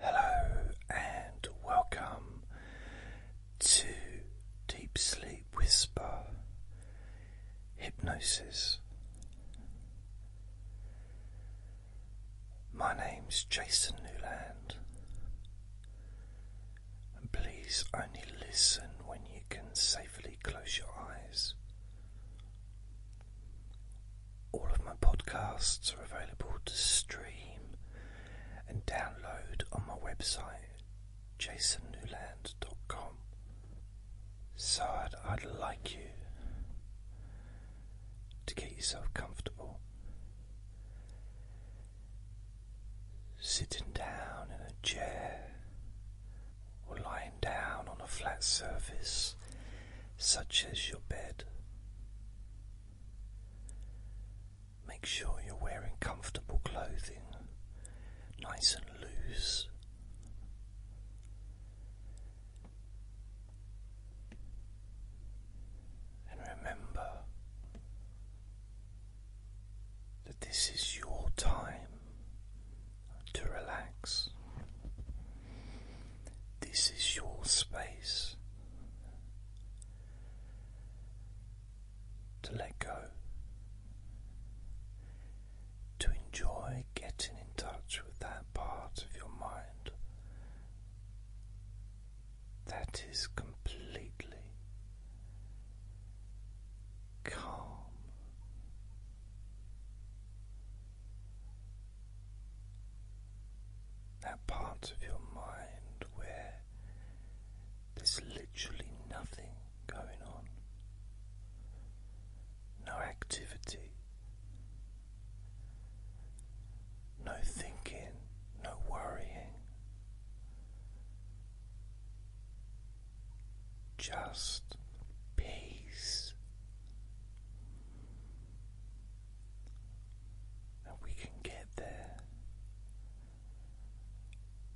Hello and welcome to Deep Sleep Whisper Hypnosis. My name's Jason Newland, and please only listen when you can safely close your eyes. All of my podcasts are available to stream and download on my website, jasonnewland.com. So I'd, like you to get yourself comfortable. Sitting down in a chair or lying down on a flat surface such as your bed. Make sure you're wearing comfortable clothing, nice and loose. And remember that this is your time to relax. This is your space to let go, to enjoy getting in touch with that part of your mind that is completely calm that part of your mind where there's literally nothing going on, no activity, no thinking, no worrying, just peace. And we can get there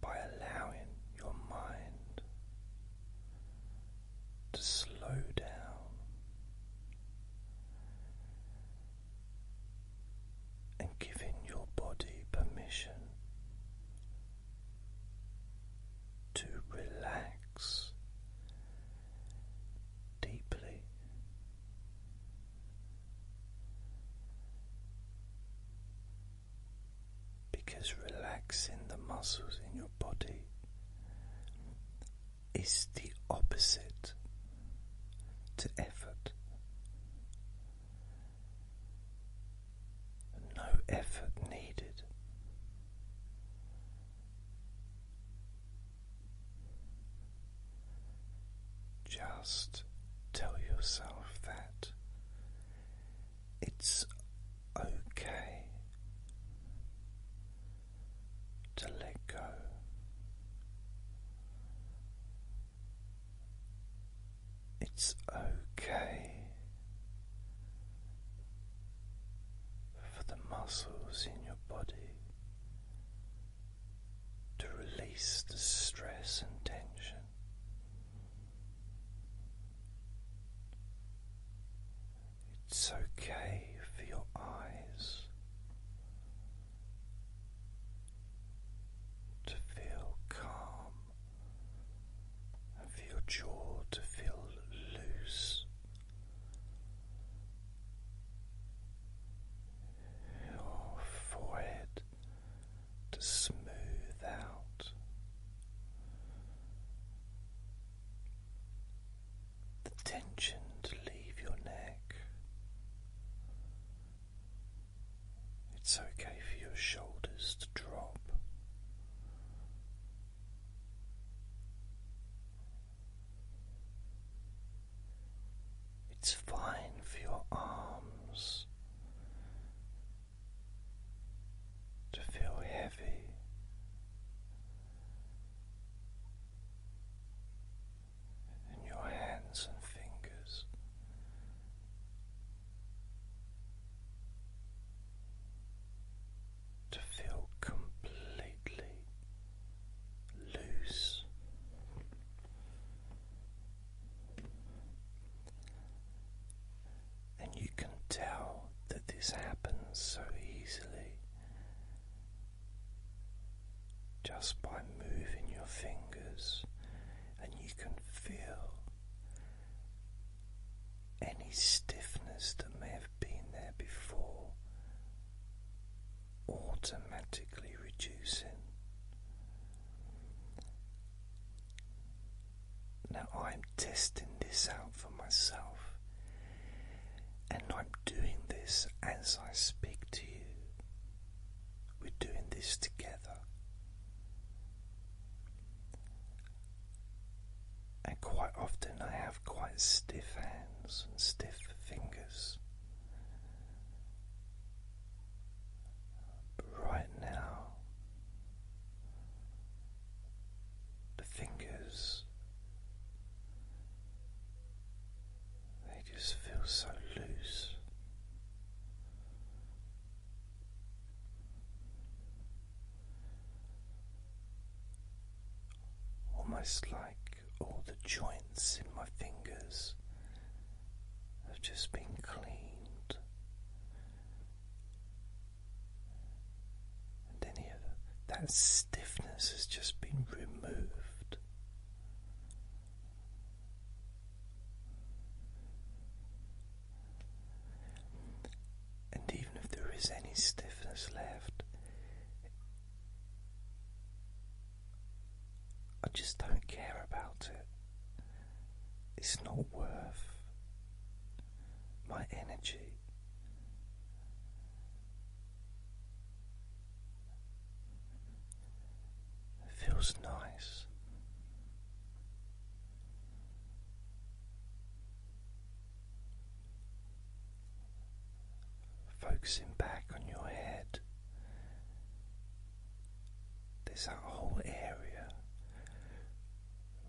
by allowing your mind to slow down and giving your body permission to relax deeply. Because relaxing the muscles in your body is the opposite to effort. No effort needed. Just tell yourself that it's okay to let go. It's okay for the muscles in your body to release the stress and tension. It's okay for your eyes to feel calm and for your jaw to feel loose your forehead to smooth out the tension to leave your neck. It's okay for your shoulders to drop. It's fine for your arms to feel heavy. And your hands and fingers to feel completely loose. And you can tell that this happens so easily just by moving your fingers, and you can feel any stiffness that may have been there before automatically reducing. Now I'm testing this out for myself, and I'm doing this as I speak to you. We're doing this together. And quite often I have quite stiff hands and stiff fingers right now, the fingers they just feel so loose. Almost like all the joints in my fingers have just been cleaned, and any of that stiffness has just been removed. And even if there is any stiffness left, I just don't care about it. It's not worth my energy. It feels nice. Focusing back on your head, this whole area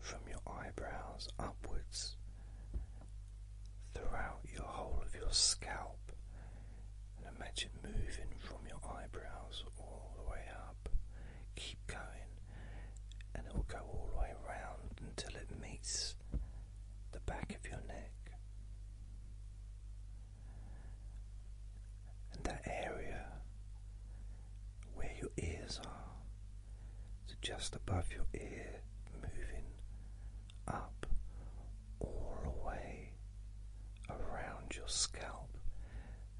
from your eyebrows upwards throughout your whole of your scalp. And imagine moving from your eyebrows all the way up. Keep going, and it will go all the way around until it meets the back of your neck. And that area where your ears are, so just above your ear, moving up all the way around your scalp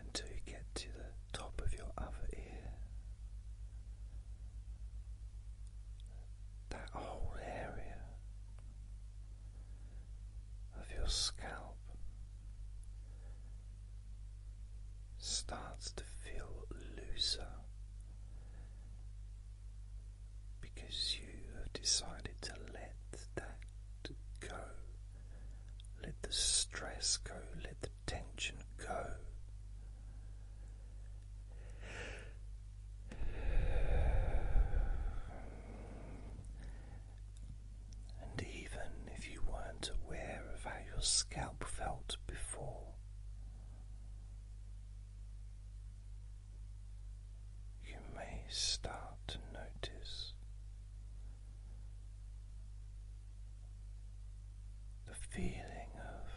until you get to the top of your other ear. That whole area of your scalp starts to feel looser because you have decided to let that go. Let the stress go, let the tension go. And even if you weren't aware of how your scalp felt before, you may start to notice the feeling of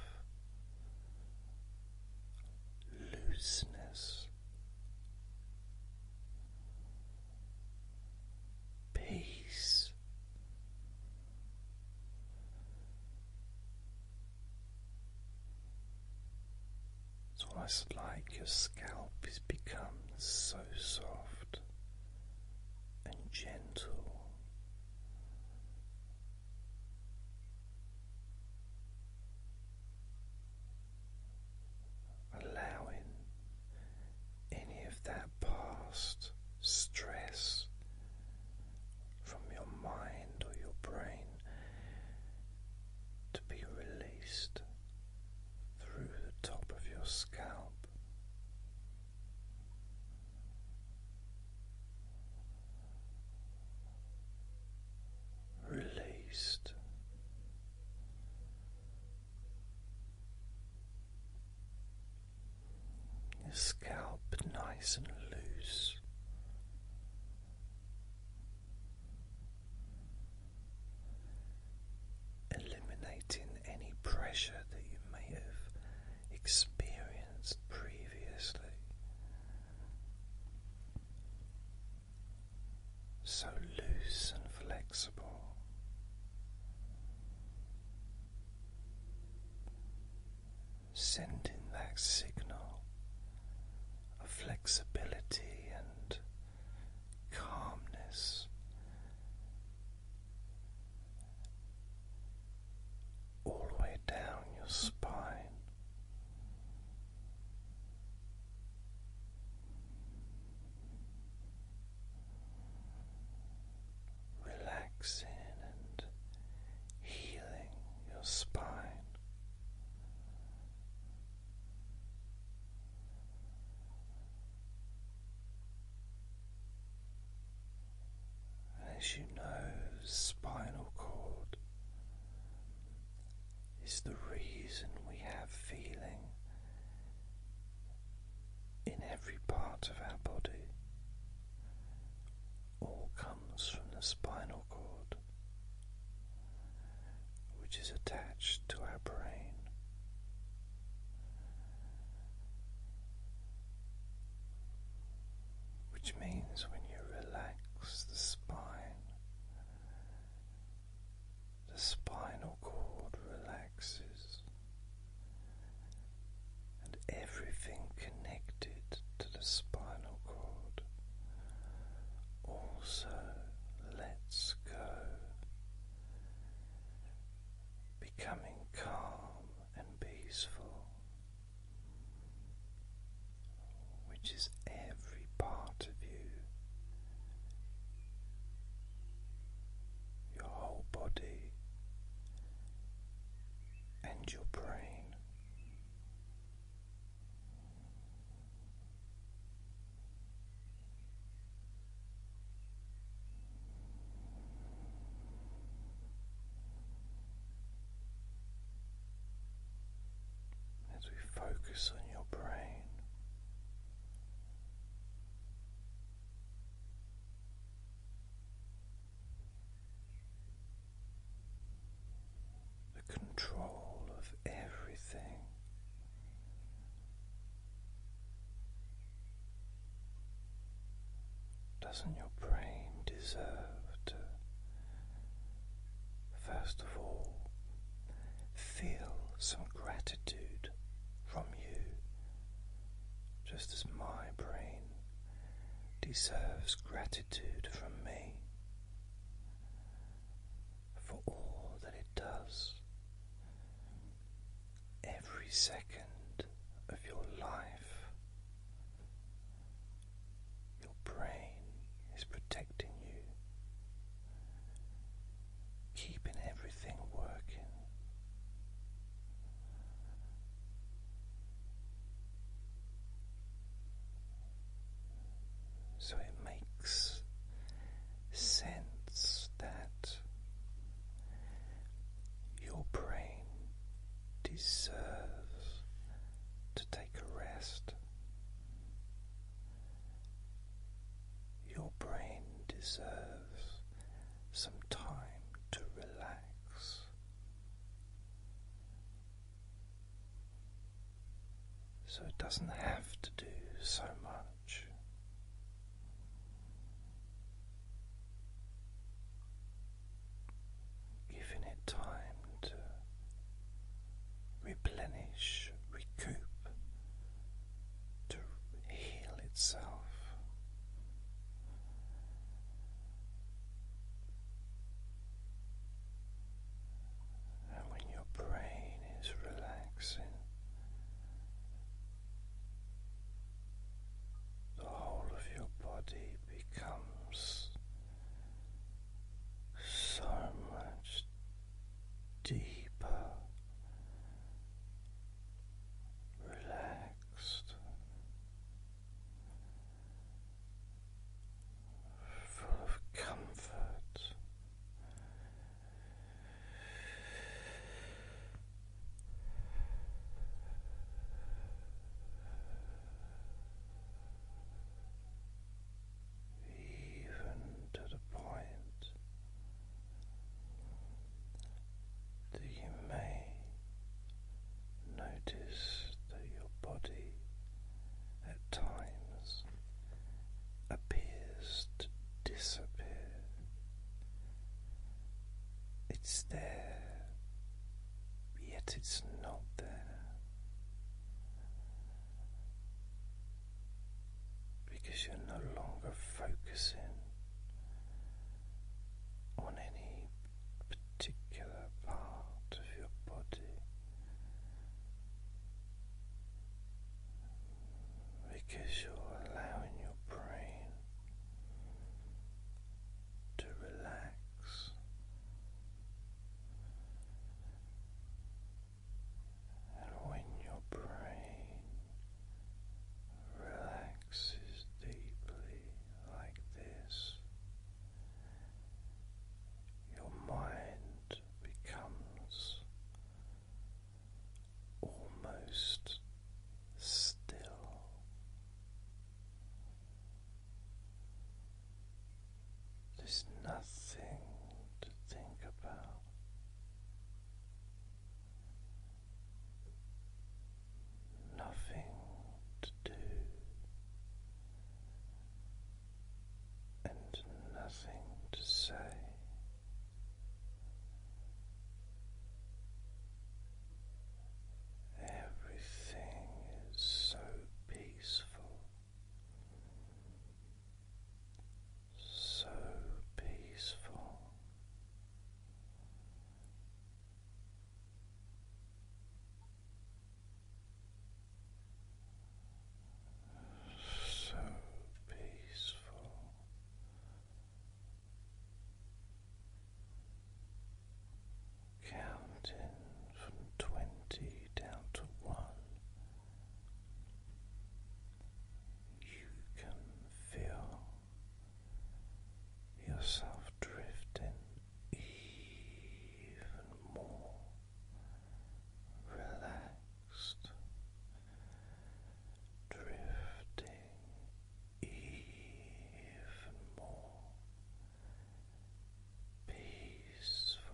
looseness peace. It's almost like your scalp has become so soft and gentle allowing any of that past stress from your mind or your brain to be released through the top of your scalp released. scalp nice and loose. Eliminating any pressure that you may have experienced previously so loose and flexible. Sending that signal of flexibility and calmness all the way down your spine, relaxing and healing your spine. As you know, spinal cord is the reason we have feeling in every part of our body. All comes from the spinal cord, which is attached to our brain. Which means when you relax the spine, the spinal cord relaxes, and everything connected to the spinal cord also lets go, becoming calm and peaceful which is every part of you, your whole body, and your brain as we focus on your brain. The control of everything. Doesn't your brain deserve to First of all, feel some gratitude from you, just as my brain deserves gratitude from me for all that it does. Every second of your life, your brain is protecting you, keeping everything working. So it makes sense that your brain deserves to take a rest. Your brain deserves some time to relax. So it doesn't have to do so much. Giving it time to uh, replenish, recoup, to heal itself. when your brain is relaxing, the whole of your body becomes so much deeper, relaxed, full of comfort even to the point that you may notice that your body at times appears to disappear. It's there, yet it's not there because you're no longer focusing on any particular part of your body. Because you're allowing your brain to relax and when your brain relaxes deeply like this, your mind becomes almost still. There's nothing to think about. Nothing to do and nothing to say. Everything is so peaceful so peaceful. So peaceful. Counting from twenty down to one, you can feel yourself drifting even more relaxed, drifting even more peaceful.